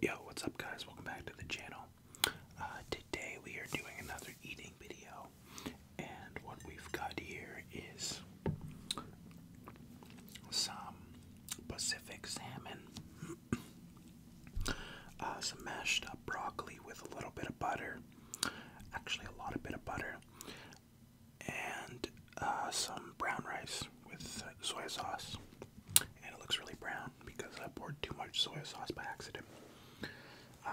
Yo, what's up, guys? Welcome back to the channel. Uh, today we are doing another eating video, and what we've got here is some Pacific salmon, uh, some mashed up broccoli with a little bit of butter, actually, a lot of bit of butter, and uh, some brown rice with uh, soy sauce, and it looks really brown because I poured too much soy sauce by accident. Um,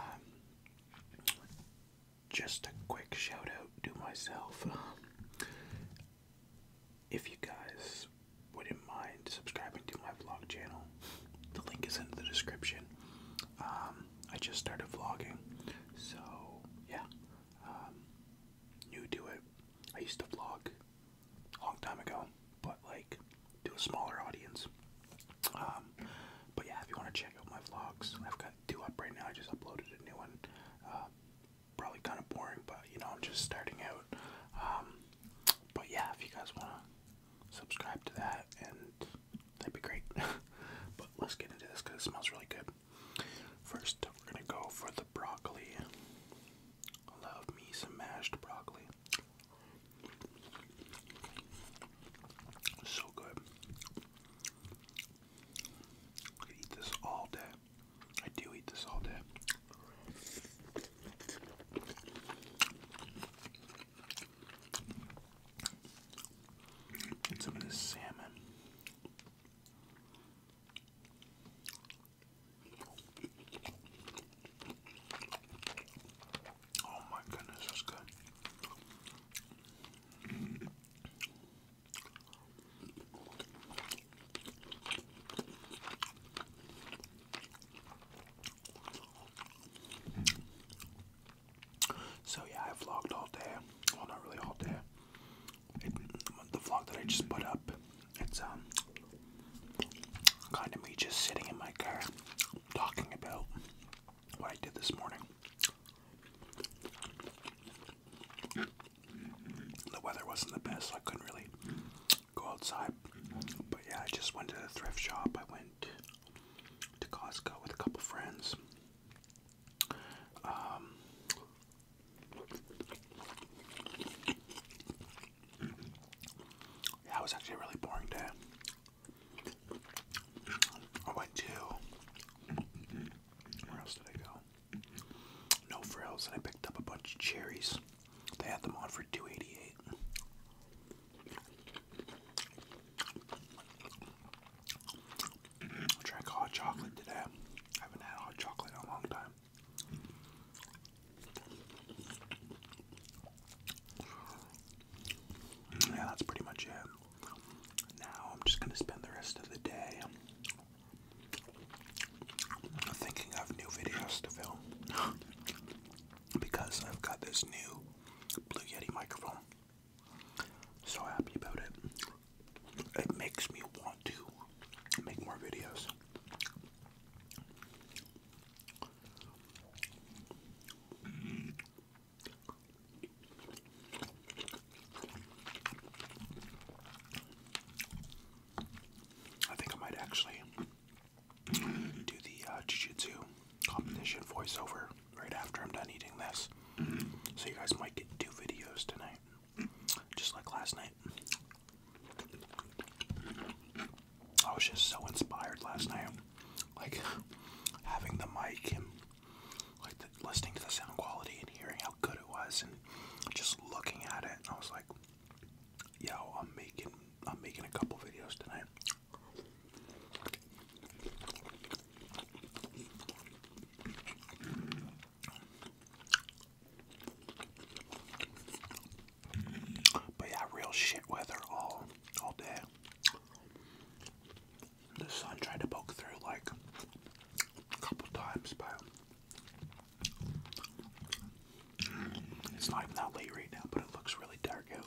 just a quick shout out to myself. Um, if you guys wouldn't mind subscribing to my vlog channel, the link is in the description. Um, I just started vlogging, so yeah, um, new it. I used to vlog a long time ago, but like to a smaller audience. Um, but yeah, if you want to check out my vlogs, I've got two up right now. I just uploaded a new one. Uh, probably kind of boring, but you know, I'm just starting out. Um, but yeah, if you guys want to subscribe to that, and that'd be great. but let's get into this because it smells really good. First, we're gonna go for the broccoli. Love me some mashed broccoli. So good. I eat this all day. I do eat this all day. And some of this salmon. Oh my goodness, that's good. So yeah, I vlogged all day. Well, not really all day the vlog that I just put up, it's um kind of me just sitting in my car talking about what I did this morning. The weather wasn't the best, so I couldn't really go outside. But yeah, I just went to the thrift shop. I went to Costco with a couple friends. That um, was actually a really boring day. I went to. Where else did I go? No frills, and I picked up a bunch of cherries. They had them on for two eighty eight. I drank hot chocolate today. I haven't had hot chocolate in a long time. Yeah, that's pretty much it. Now I'm just gonna spend the rest of the day thinking of new videos to film because I've got this new Blue Yeti microphone. So happy about it. It makes me want to make more videos. I think I might actually do the uh, Jiu voiceover right after I'm done eating this. Mm-hmm. So you guys might get two videos tonight, just like last night. I was just so inspired last night, like having the mic and like listening to the sound quality and hearing how good it was, and just looking at it. And I was like, "Yo, I'm making, I'm making a couple videos tonight." But yeah, real shit weather all all day. The sun tried to poke through like a couple times, but it's not even that late right now, but it looks really dark out.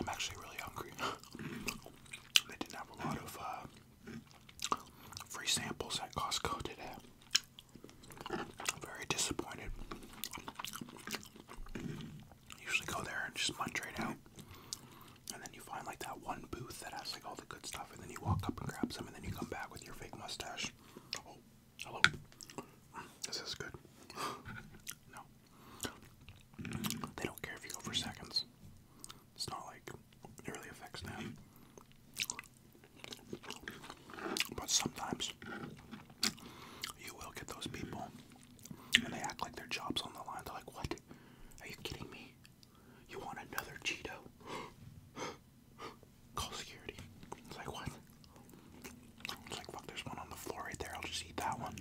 I'm actually really hungry. they didn't have a lot of uh, free samples at Costco today. I'm very disappointed. Usually go there and just munch right out. And then you find like that one booth that has like all the good stuff and then you walk up and grab some, and then you come back with your fake mustache. Oh, hello. This is good. no. They don't care if you go for seconds. It's not like it really affects them. But sometimes you will get those people and they act like their job's on the line. They're like, What? Are you kidding me? You want another Cheeto? Call security. It's like, what? It's like, fuck, there's one on the floor right there. I'll just eat that one.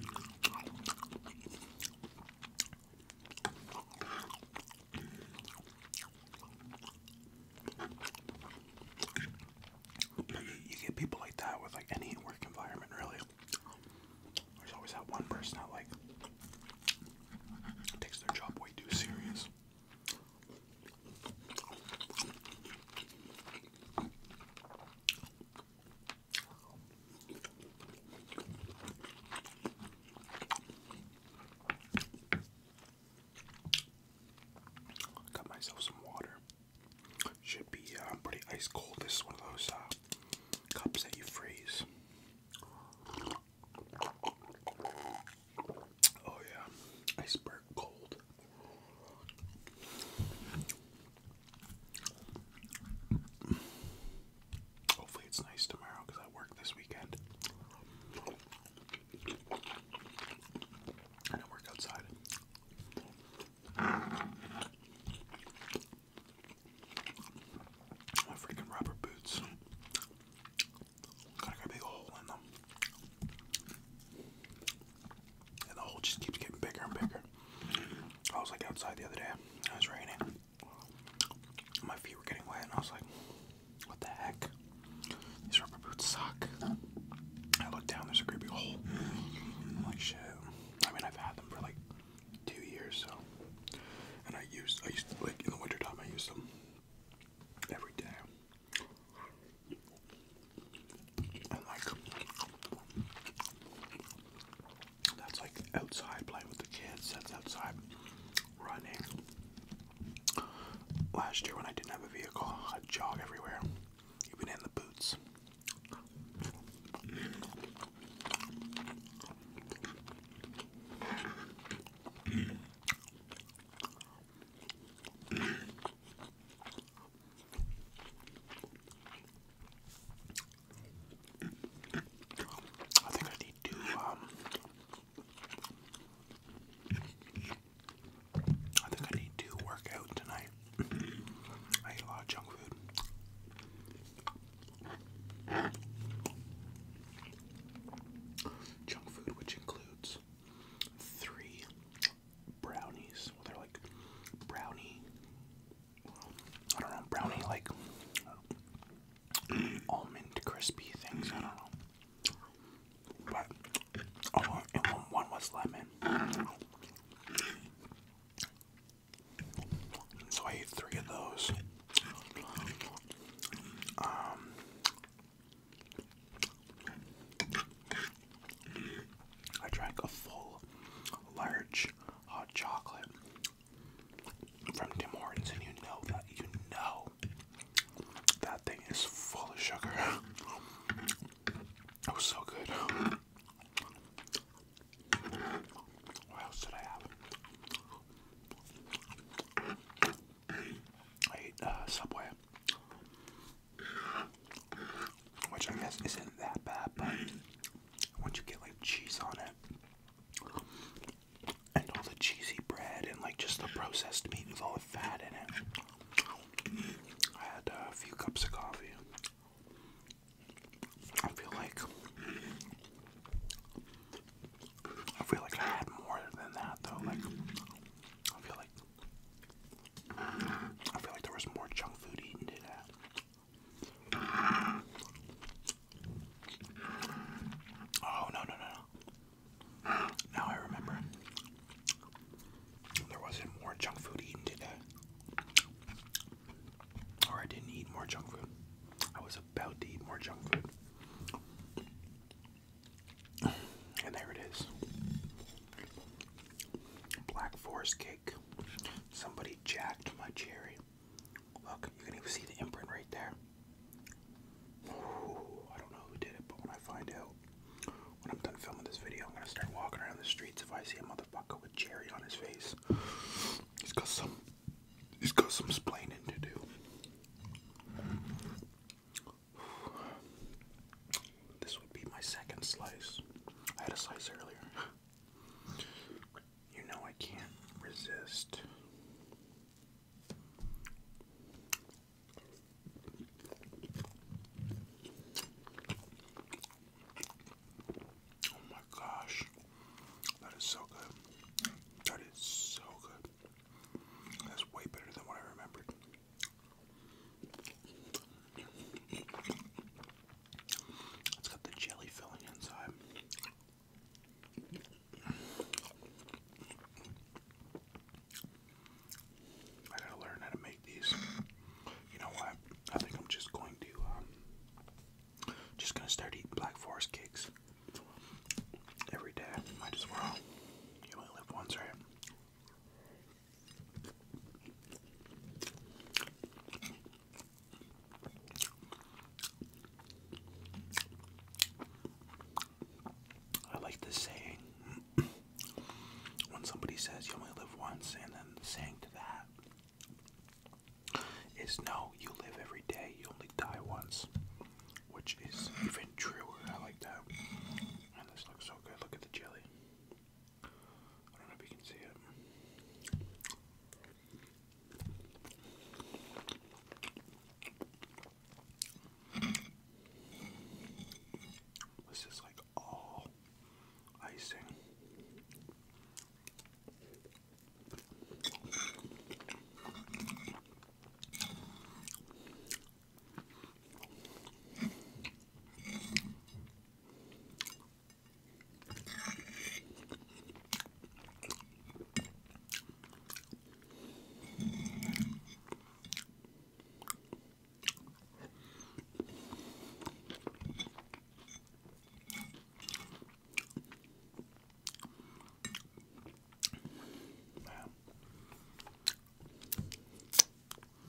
You get people like that with like any work environment, really. There's always that one person that like Takes their job way too serious. Got myself some water. Should be uh, pretty ice cold. This is one of those uh, cups that you freeze. Oh yeah, iceberg cold. Hopefully it's nice tomorrow because I work this weekend. And I work outside. My freaking rubber boots. got a big hole in them. And the hole just keeps getting bigger and bigger. I was like outside the other day, it was raining. My feet were getting wet, and I was like, what the heck? These rubber boots suck. I look down, there's a great hole. like, shit. I mean, I've had them for like two years, so. And I used, I used to, like, in the wintertime, I used them every day. And, like, that's like outside playing with the kids, that's outside running. Last year, when I didn't have a vehicle, i jog everywhere, even in the boots. I think I need to, um, I think I need to work out tonight. I eat a lot of junk food. Junk food, which includes three brownies. Well, they're like brownie. I don't know, brownie like almond crispy things. I don't know. But oh, was lemon. So I ate three of those. Um, I drank a full large hot chocolate from Tim Hortons, and you know that you know that thing is full of sugar. It was so good. What else did I have? I ate uh, Subway, which I guess isn't that bad, but once you get like cheese on it, and all the cheesy bread, and like just the processed meat with all the fat in it, I had a few cups of coffee. I feel like I feel like I had more than that though. Like I feel like I feel like there was more junk food eaten today. Oh no no no Now I remember. There was more junk food eaten today or I didn't eat more junk food. I was about to eat more junk food. And there it is. Black forest cake. Somebody jacked my cherry. Look, you can even see the imprint right there. I don't know who did it, but when I find out, when I'm done filming this video, I'm gonna start walking around the streets if I see a motherfucker with cherry on his face. He's got some he's got some splaining to do. This would be my second slice. I had a slice earlier. You know I can't resist. Oh my gosh, that is so good. That is so good. That's way better than what I remembered. It's got the jelly filling inside. I gotta learn how to make these. You know what? I think I'm just going to, um, just gonna start eating Black Forest cakes every day. Might as well. You only live once, right? I like the saying when somebody says you only live once and then saying to that is no, you live every day, you only die once. Which is even truer. I like that. And this looks so good. Look at the jelly. I don't know if you can see it. This is like all oh, icing.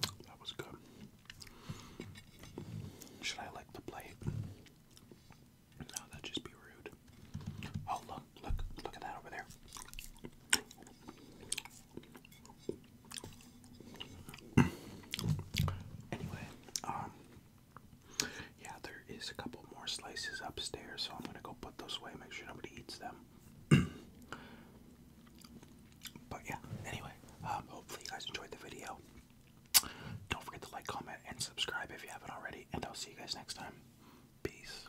Man, that was good. Should I lick the plate? No, that'd just be rude. Oh, look, Look, look, at that over there. Anyway, um, yeah, there is a couple more slices upstairs, so I'm gonna go put those away, make sure nobody eats them. but yeah, anyway, um, hopefully you guys enjoyed the video. Don't forget to like, comment, and subscribe if you haven't already, and I'll see you guys next time. Peace.